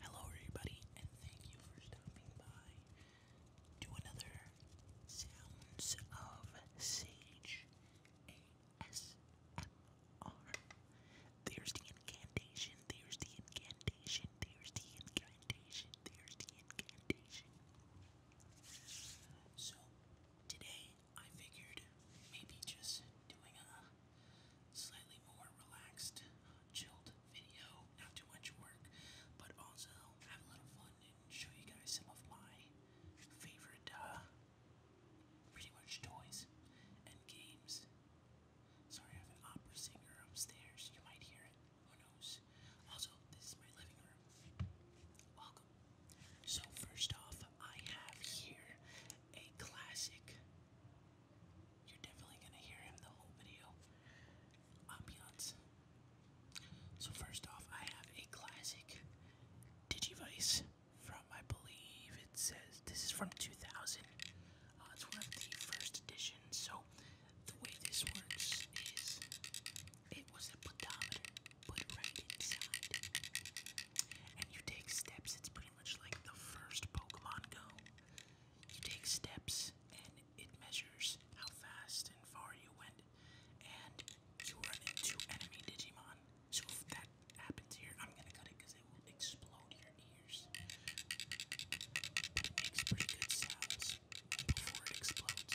Hello, everybody, and thank you for stopping by to another Sounds of Sage ASMR. There's the incantation, there's the incantation, there's the incantation, there's the incantation. So, today I figured maybe just doing a slightly more relaxed, chilled video. Not too much work, but also have a little fun and show you guys some of my favorite, uh, pretty much toys and games. Sorry, I have an opera singer upstairs. You might hear it. Who knows? Also, this is my living room. Welcome. So, first off, I have here a classic you're definitely gonna hear him the whole video. Ambiance. So first off, I have a classic Digivice from I believe it says this is from 2000. Uh, it's one of the first editions. So the way this works is it was a pedometer put right inside, and you take steps. It's pretty much like the first Pokemon Go. You take steps and it measures how fast and far you went, and you run into enemy Digimon. So if that happens here, I'm gonna cut it because it will explode your ears. makes pretty good sounds before it explodes.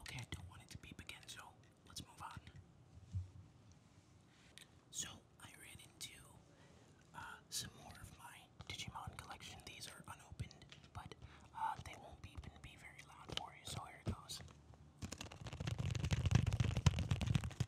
Okay, I don't want it to beep again, so let's move on. So I ran into uh, some more of my Digimon collection. These are unopened, but uh, they won't beep and be very loud for you, so here it goes.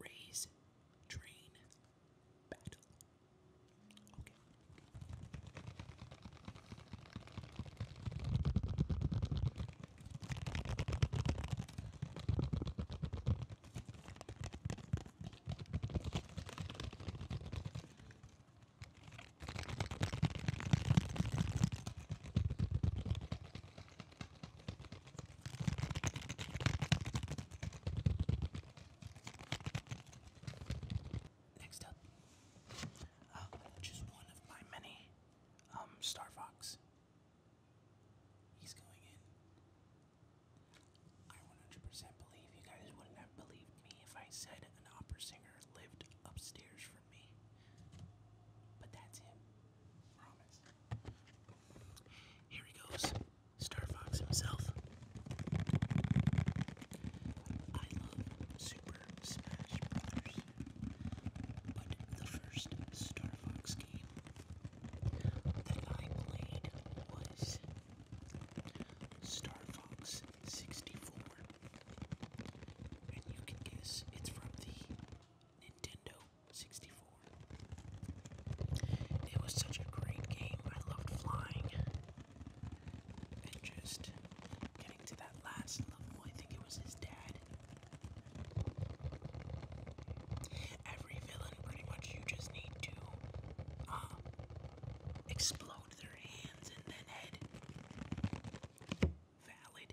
Raise train battle. Okay. Next up, uh, just one of my many um, Star Fox. He's going in. I 100 believe you guys wouldn't have believed me if I said an opera singer lived upstairs from but that's him. Here he goes. Star Fox himself. I love Super Smash Brothers. But the first Star Fox game that I played was Star Fox 64. And you can guess it's from the Nintendo 64. It was such a great game. I loved flying and just getting to that last level. I think it was his dad. Every villain, pretty much, you just need to uh, explode their hands and then head valid.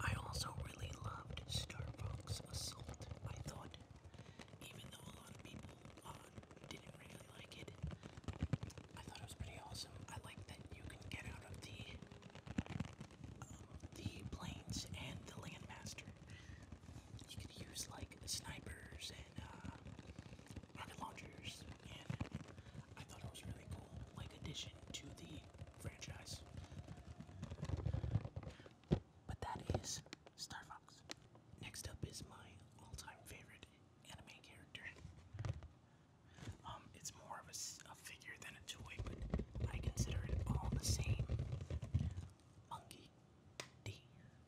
I also really loved Starbucks Assault. I thought, even though a lot of people uh, didn't really like it, I thought it was pretty awesome. I like that you can get out of the um, the planes and the landmaster. You can use like snipers and uh, rocket launchers, and I thought it was really cool, like, addition to the franchise. But that is Star Next up is my all-time favorite anime character. Um, it's more of a, a figure than a toy, but I consider it all the same. Monkey D.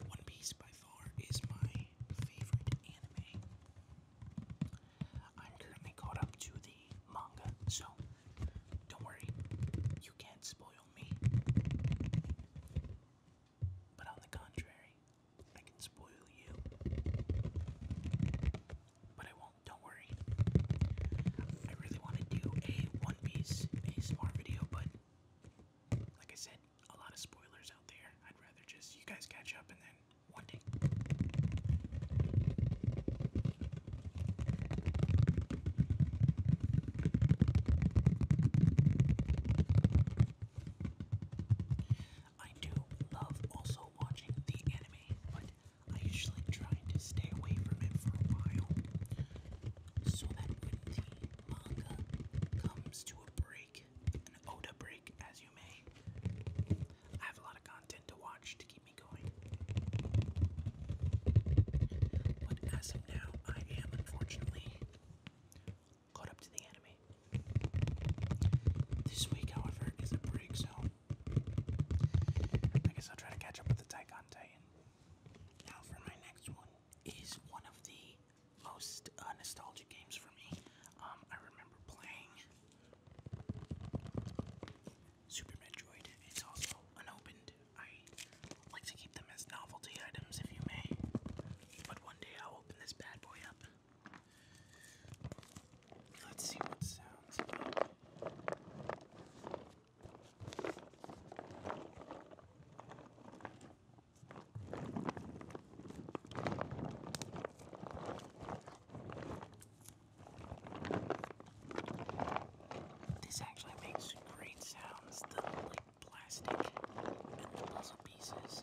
One Piece by far is my favorite anime. I'm currently caught up to the manga, so don't worry, you can't spoil me. But on the contrary, I can spoil you. But I won't, don't worry. I really want to do a One Piece ASMR video, but like I said, a lot of spoilers out there. I'd rather just you guys catch up and then one day. I do love also watching the anime, but I usually try to stay away from it for a while so that manga comes to a break, an Oda break, as you may. I have a lot of content to watch to keep me going. But as of now, I am unfortunately caught up to the anime. This week, however, is a break, so I guess I'll try to catch up with the Taikon Titan. Now for my next one is one of the most uh, nostalgic games for me. Um, I remember playing Super Metroid. It's also unopened. I like to keep them as novelty items, if you may. But one day I'll open this bad boy up. Let's see what sounds this actually makes great sounds, the like plastic and the puzzle pieces.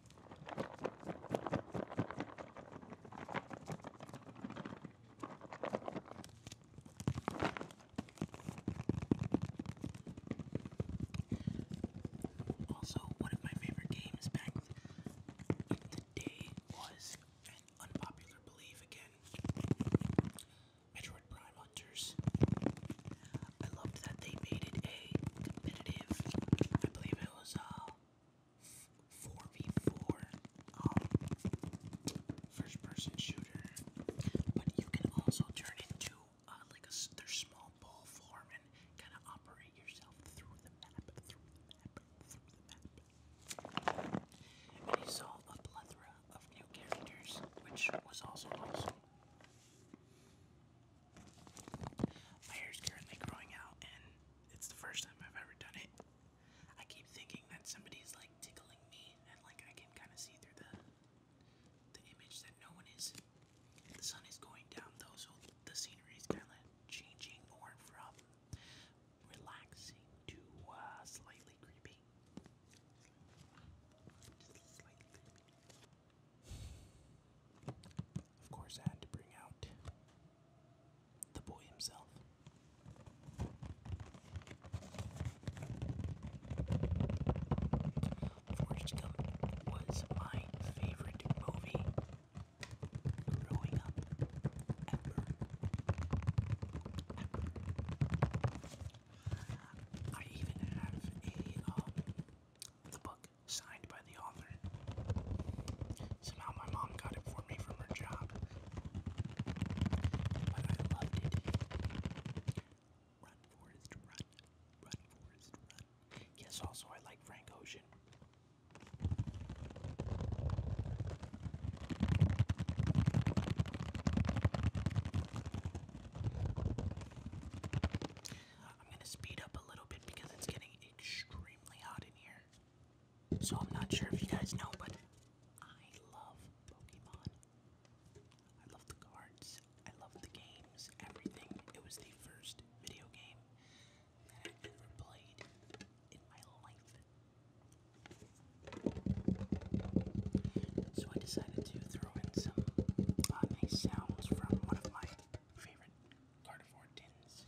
Also, one of my favorite games back in the day was an unpopular belief again. Metroid Prime Hunters. I loved that they made it a competitive. I believe it was uh 4v4 um, first person shooter, but you can also turn into uh, like a their small ball form and kind of operate yourself through the map, through the map, through the map. And you saw a plethora of new characters, which was also awesome. My hair is currently growing out, and it's the first time I've ever done it. I keep thinking that somebody's like tickling me, and like I can kind of see through the the image that no one is. The sun is going down though, so the scenery is kind of changing, or from relaxing to slightly uh, creepy. slightly creepy. Of course, I had to bring out the boy himself. Forrest Gump was my favorite movie growing up ever. I even have a um, the book signed by the author. Somehow my mom got it for me from her job. But I loved it. Run, Forrest, run. Run, Forrest, run. Yes, also I like Frank Ocean. Uh, I'm going to speed up a little bit because it's getting extremely extremely hot in here. So I'm not sure if you guys know, but I love Pokemon. I love the cards. I love the games. Everything. It was the first video game that I ever played in my life. So I decided to throw in some uh, sounds from one of my favorite Gardevoir tins.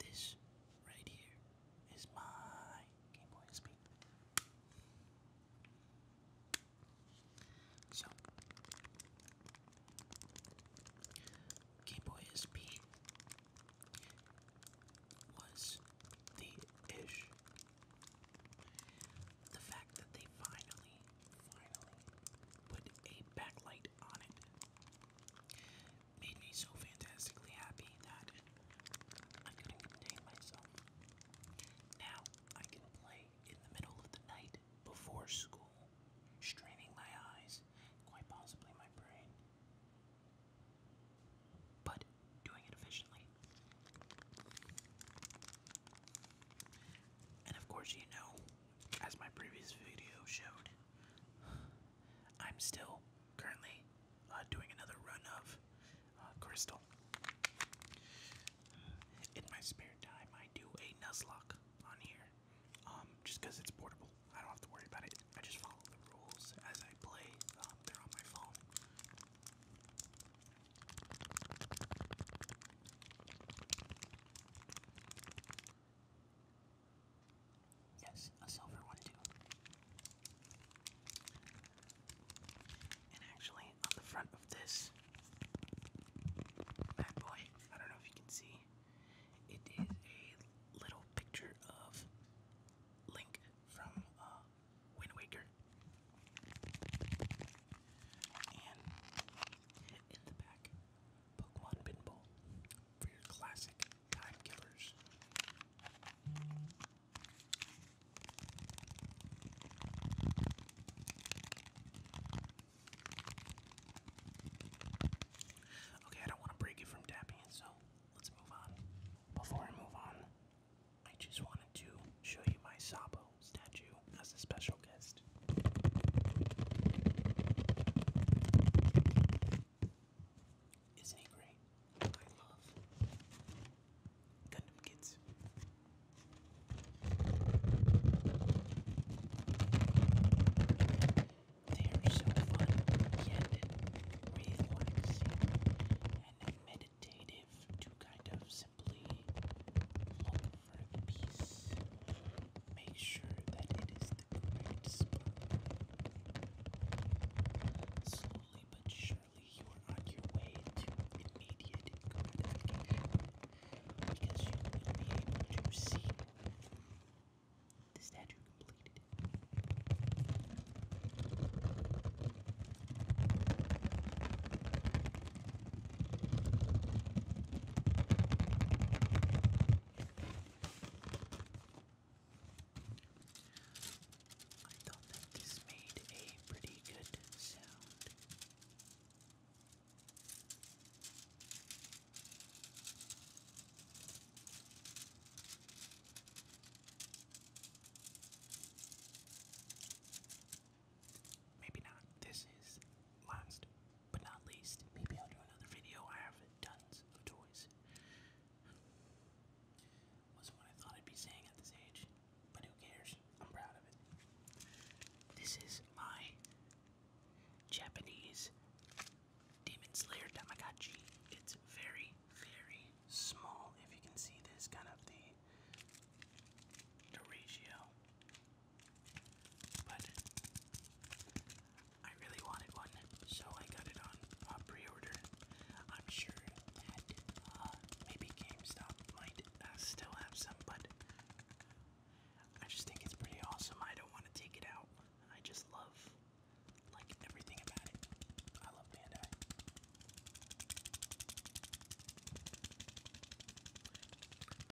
This right here is my Game Boy SP. So, Game Boy SP was the ish. The fact that they finally, finally put a backlight on it made me so fantastically happy that I couldn't contain myself. Now I can play in the middle of the night before school, straining my eyes, quite possibly my brain, but doing it efficiently. And of course, you know, as my previous video showed, I'm still currently uh, doing another run of uh, Crystal. In my spare time, I do a Nuzlocke on here, um, just because it's portable. I don't have to worry about it. I just follow the rules as I play. Um, they're on my phone. Yes, a silver one too. And actually, on the front of this bad boy, I don't know if you can see, it is a little picture of Link from uh, Wind Waker. And in the back, Pokemon Pinball for your classic time killers. Okay, I don't want to break it from tapping, so let's move on. Before I move on, I just wanted to show you my Sabo statue as a special guest next. Isn't he great? I love Gundam Kids. They are so fun, yet relaxing and meditative to kind of simply look for peace make sure that it is the correct spot. Slowly but surely, you are on your way to immediate good because you will be able to see the statue completed. I thought that this made a pretty good sound. Maybe not. This is last but not least, maybe I'll do another video. I have tons of toys. Wasn't what I thought I'd be saying at this age, but who cares? I'm proud of it. This is my Japanese Demon Slayer Tamagotchi. It's very, very small. If you can see this, kind of the the ratio but I really wanted one, so I got it on uh, pre-order. I'm sure uh, maybe GameStop might uh, still have some, but I just think it's pretty awesome. I don't want to take it out. I just love like everything about it. I love Bandai.